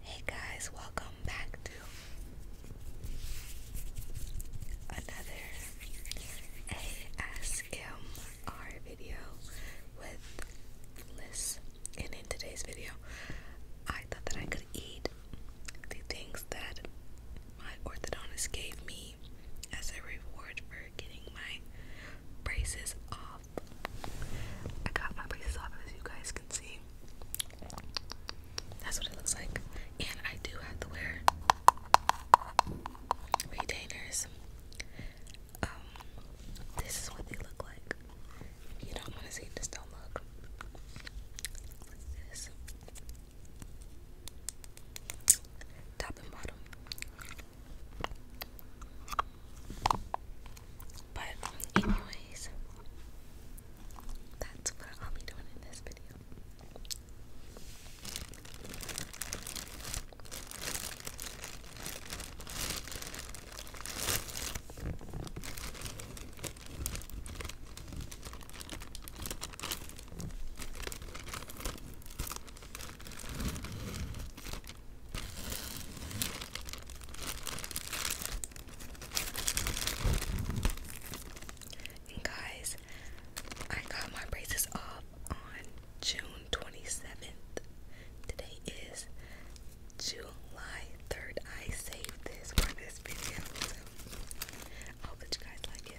Hey guys, welcome back to another ASMR video with Liz. And in today's video, I thought that I could eat the things that my orthodontist gave me as a reward for getting my braces off. I got my braces off as you guys can see. That's what it looks like. And I do have to wear retainers. Um, this is what they look like. You don't want to see this, don't look. this. Top and bottom. But anyways, that's what I'll be doing in this video guys, I got my braces off on June 27th. Today is July 3rd. I saved this for this video. I hope that you guys like it.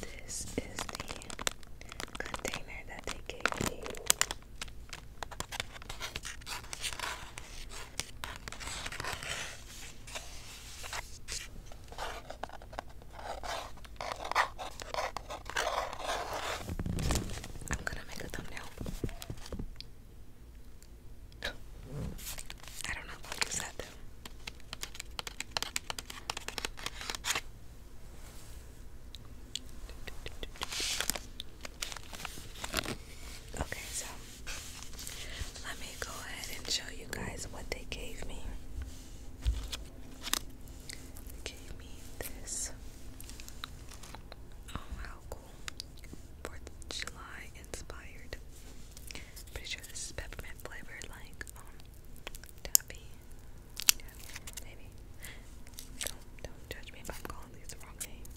This is the container that they gave me. I'm gonna make a thumbnail. I don't know if I'll Okay, so let me go ahead and show you guys what they gave me. gave me this. Oh, how Fourth of July inspired. Pretty sure this is peppermint flavored, like um taffy, yeah, maybe. Don't don't judge me if I'm calling these wrong name.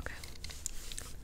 Okay,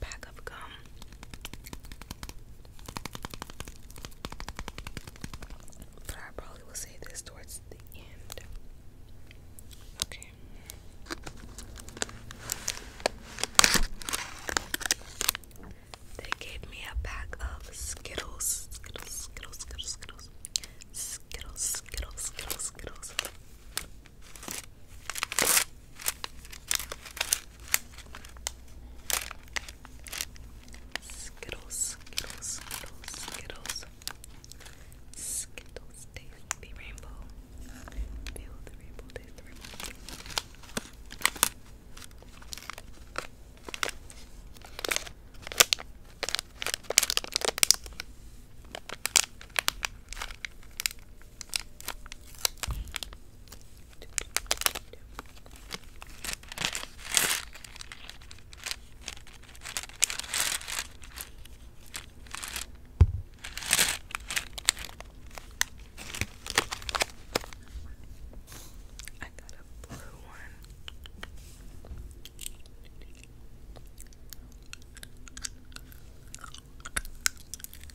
pack of gum. But I probably will save this towards the end. Okay. They gave me a pack of Skittles. Skittles, Skittles, Skittles, Skittles. Skittles, Skittles, Skittles, Skittles. Skittles, Skittles, Skittles, Skittles. Skittles taste rainbow. Feel the rainbow, taste the rainbow. I got a blue one.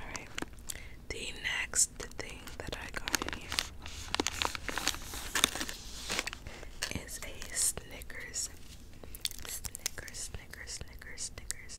Alright, the next thing that I got here is a Snickers. Snickers, Snickers, Snickers, Snickers.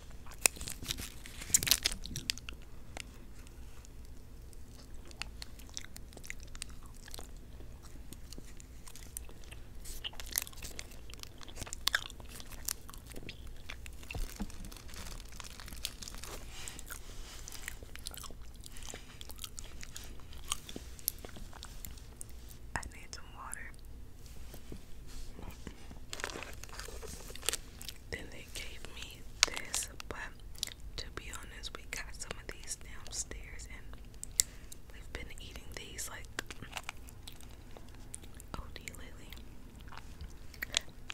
I need some water. Then they gave me this, but to be honest, we got some of these downstairs and we've been eating these like OD lately.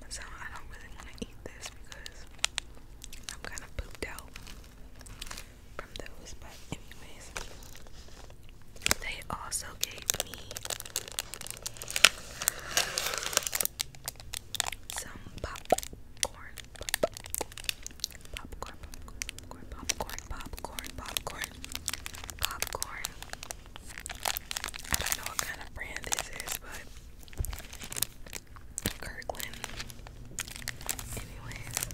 So I don't really want to eat this because I'm kind of pooped out from those, but anyways. They also gave me some popcorn. Popcorn, popcorn, popcorn, popcorn, popcorn, popcorn. I don't know what kind of brand this is, but Kirkland. Anyways,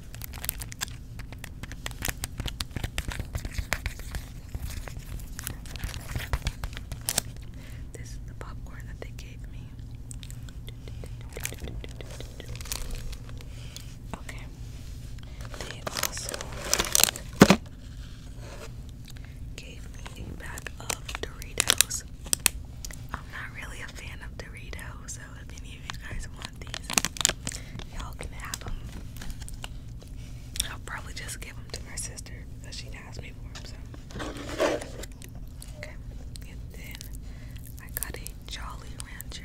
this is the popcorn that they gave me. Okay. They also gave me a bag of Doritos. I'm not really a fan of Doritos, so if any of you guys want these, y'all can have them. I'll probably just give them to my sister because she asked me for them. So okay, and then I got a Jolly Rancher.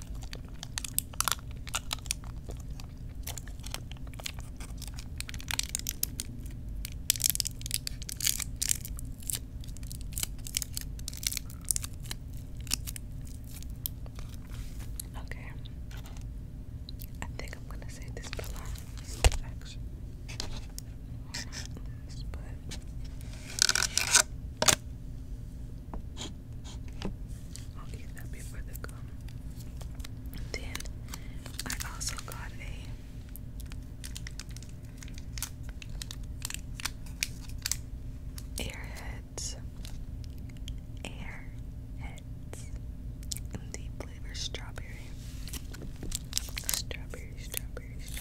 Okay. I think I'm gonna say this for last. I'll eat that before they come. Then I also got a Airheads. Airheads. In the flavor Strawberry, strawberry, strawberry.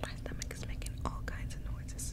My stomach is making all kinds of noises.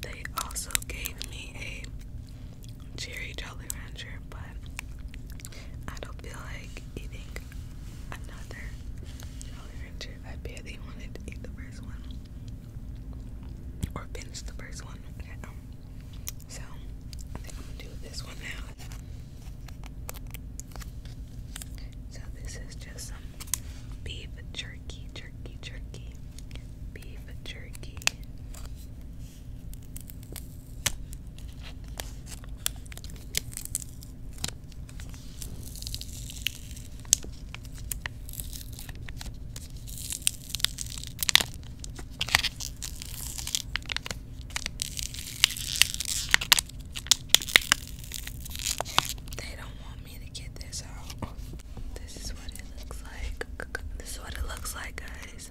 They also gave me a cherry Jolly Rancher, but I don't feel like eating another Jolly Rancher. I barely wanted to eat the first one or finish the first one. Um, so I think I'm gonna do this one now. So this is just some beef jerky, jerky, jerky, beef jerky. They don't want me to get this out. This is what it looks like. This is what it looks like, guys.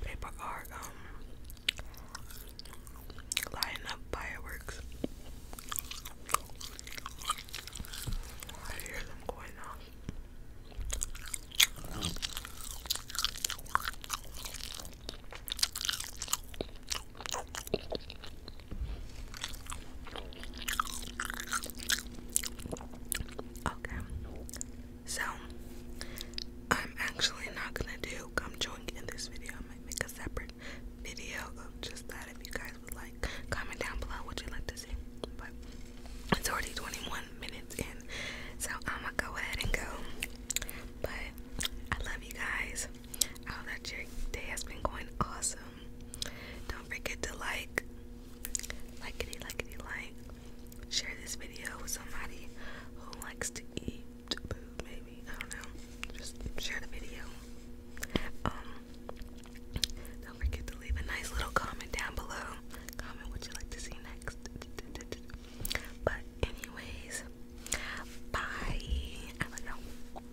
Paper are um, lighting up fireworks. I hear them going off. Okay, so, I'm actually not gonna do gum chewing in this video. I might make a separate video of just that if you guys would like. Comment down below what you'd like to see. But it's already 21 minutes in, so I'm gonna go ahead and go. But I love you guys. I hope that your day has been going awesome. Don't forget to like, likey, likey, like, share this video with somebody who likes to eat maybe. I don't know. Just share the video. Um, don't forget to leave a nice little comment down below. Comment what you like to see next. But, anyways, bye. I don't know.